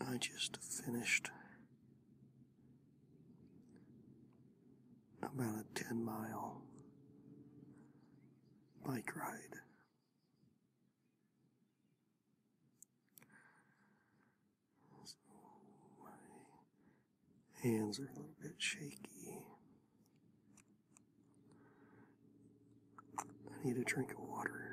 I just finished about a 10 mile bike ride. So my hands are a little bit shaky. I need a drink of water.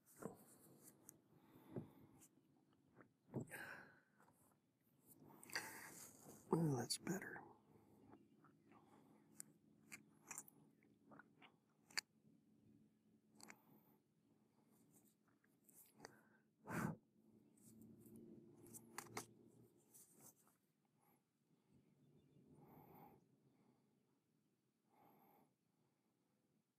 Well, that's better.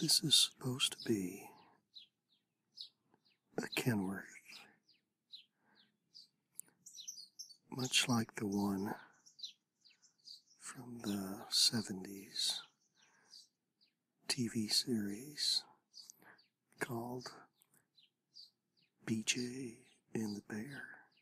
This is supposed to be a Kenworth, much like the one from the 70s TV series called BJ and the Bear.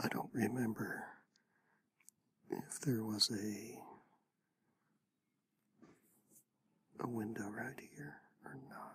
I don't remember if there was a a window right here or not.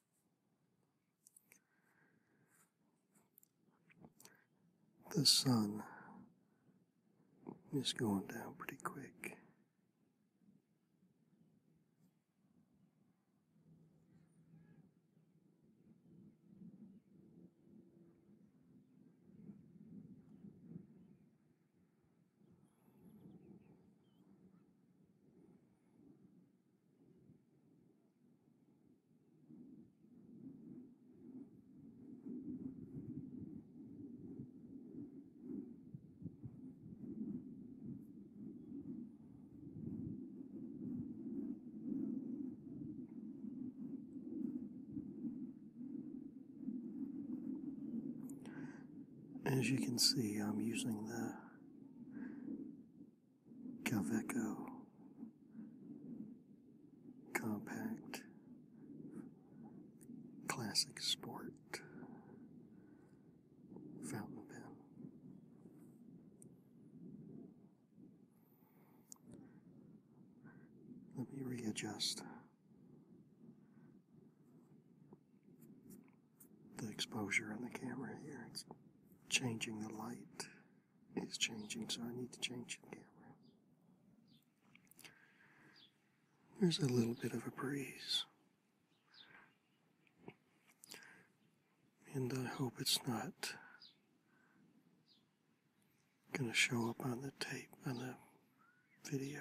The sun is going down pretty quick. As you can see, I'm using the Calveco Compact Classic Sport Fountain Pen. Let me readjust the exposure on the camera here. It's changing the light is changing, so I need to change the camera. There's a little bit of a breeze. And I hope it's not going to show up on the tape, on the video.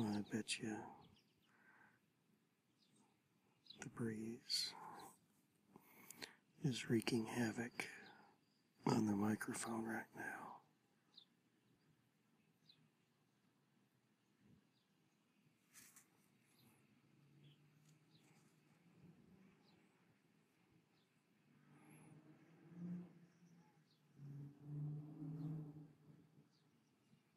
I bet you the breeze is wreaking havoc on the microphone right now.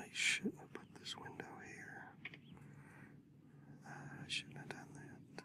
I shouldn't have put this window here. I shouldn't have done that.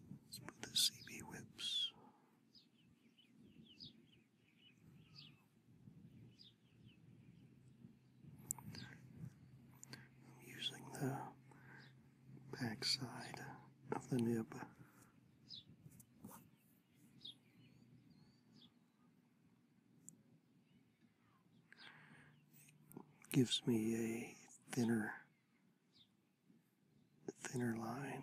Let's the CB whips I'm using the back of the nib. gives me a thinner thinner line.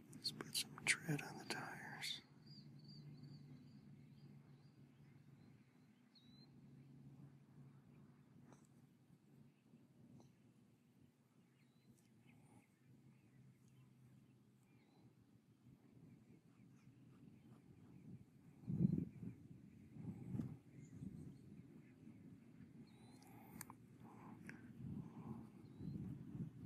Let's put some tread on the tires.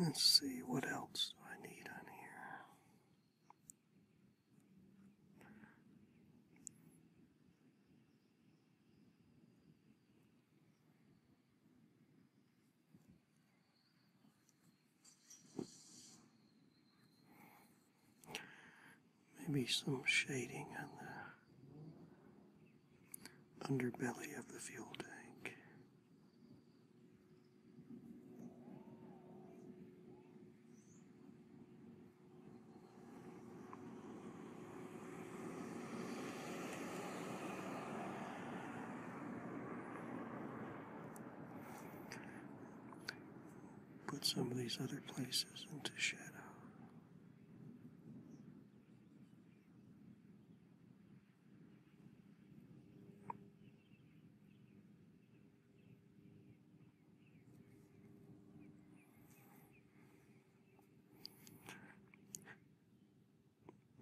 Let's see, what else do I need on here? Maybe some shading on the underbelly of the fuel tank. Put some of these other places into shadow.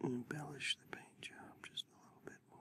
And embellish the paint job just a little bit more.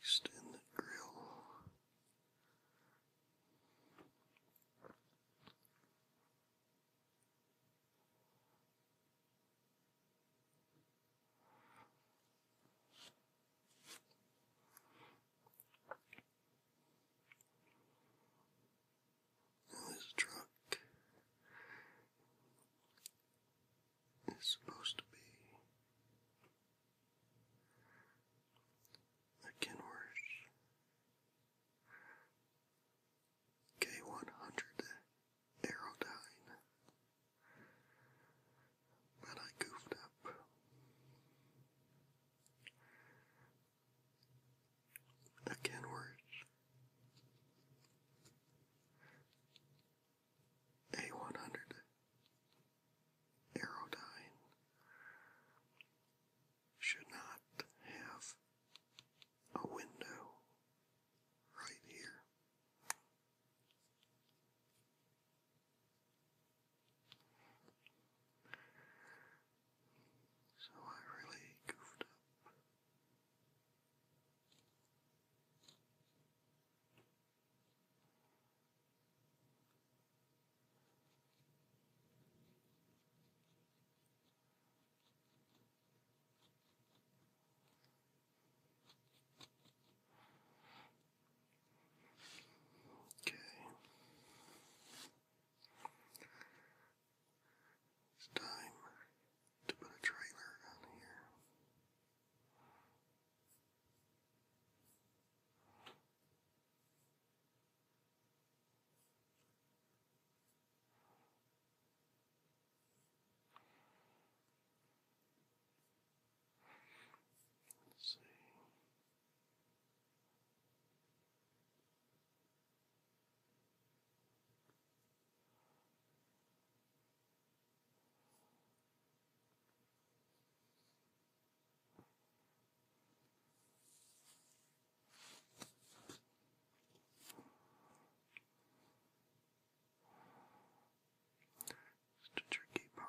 Extend the grill this truck is supposed to be a Kenworth K100 Aerodyne, but I goofed up. That can A100 Aerodyne should not have a window right here. So I really goofed up. Okay. It's time to put a trailer on here. Let's see. It's the tricky part.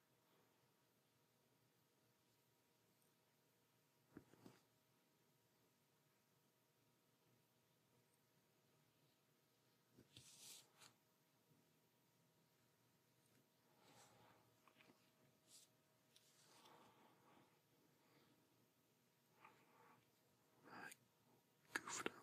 I goofed up.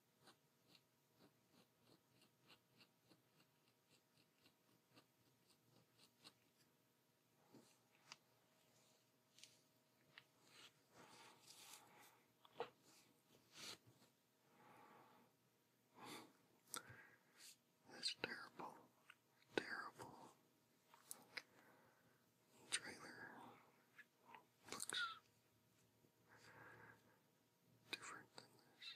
This terrible, terrible trailer looks different than this.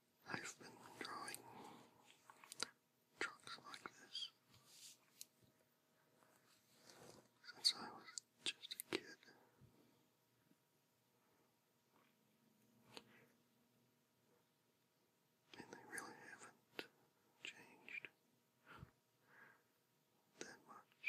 I've been drawing trucks like this since I was just a kid. And they really haven't changed that much.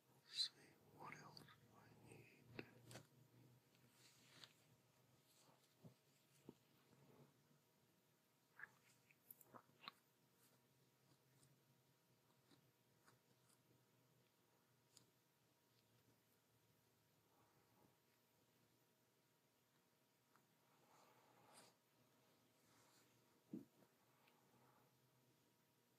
see what else I need.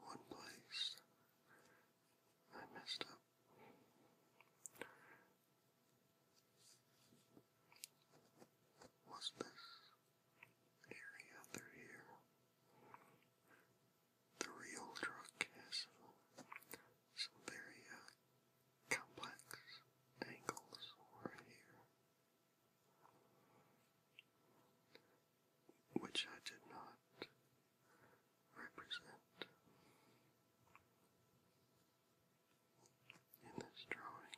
One place I messed up. Was this area through here? the real truck has some, very uh, complex angles right here, which I did not represent in this drawing.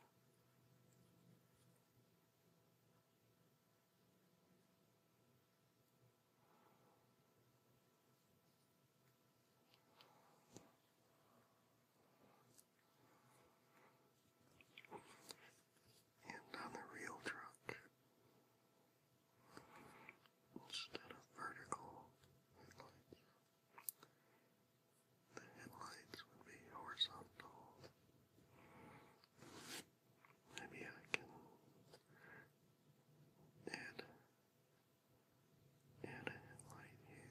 And on the real truck, instead of vertical the headlights would be horizontal. Maybe I can add, add a headlight here.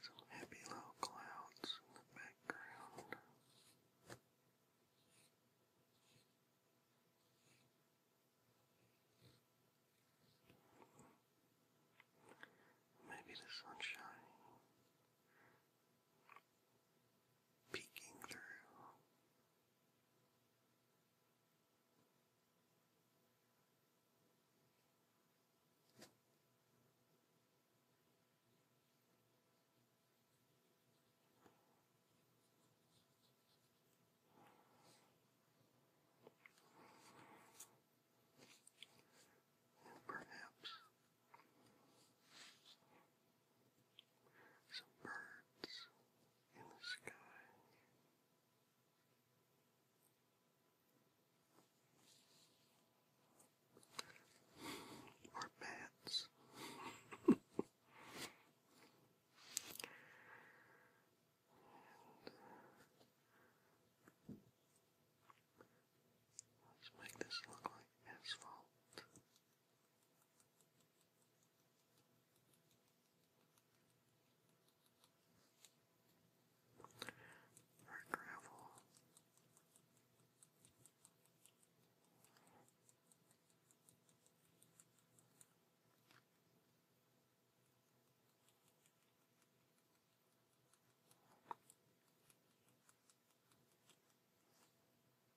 Some happy little clouds in the background. Maybe the sunshine peeking through Perhaps some birds in the sky. Or bats. let's make this look like asphalt or gravel.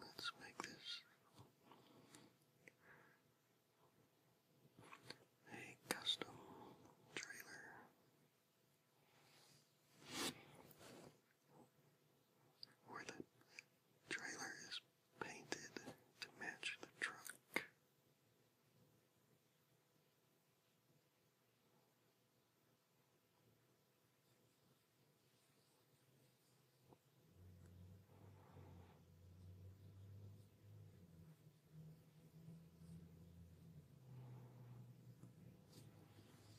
Let's make this a custom trailer where the trailer is painted to match the truck.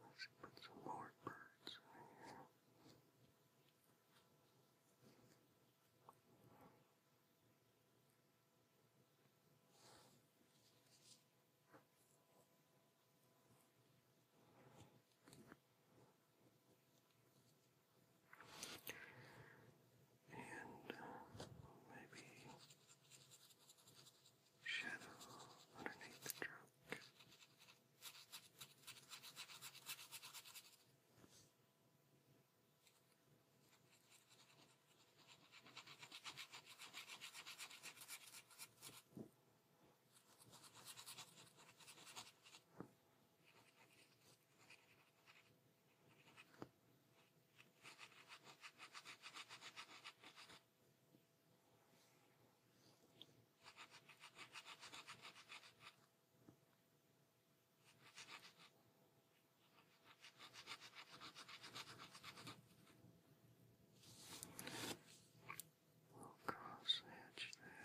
Let's put some more birds in here. And uh, maybe shadow underneath the trunk. We'll cross the edge there.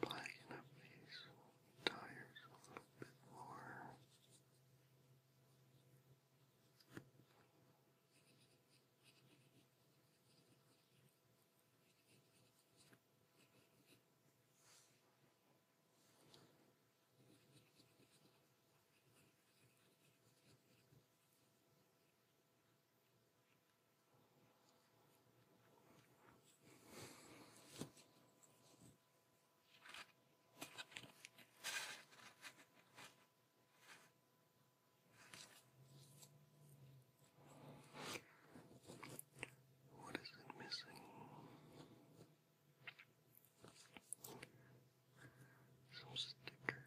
Packing up these tires a little bit more. What is it missing? Some stickers.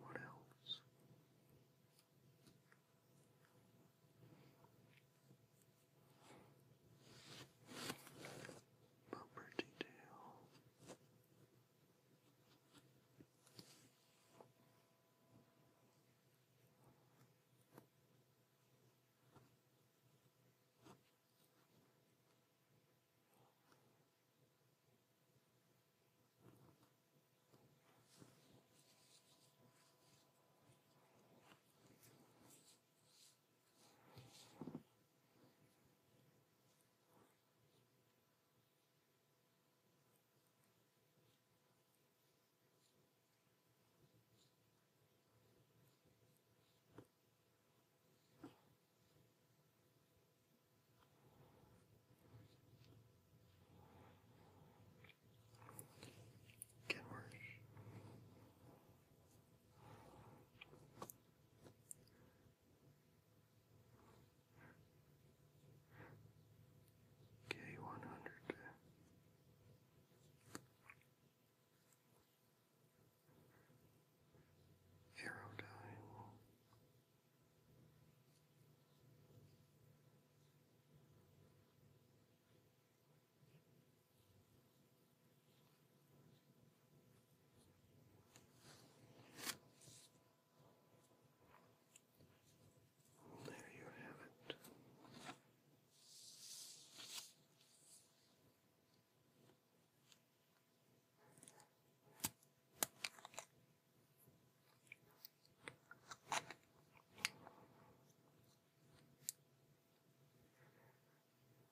What else? Bumper detail. Get worse. K one hundred. Aerodyne. There you have it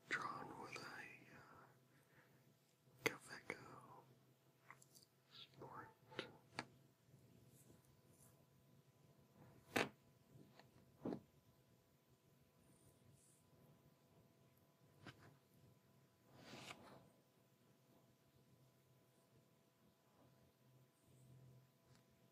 drawn with a uh, sport.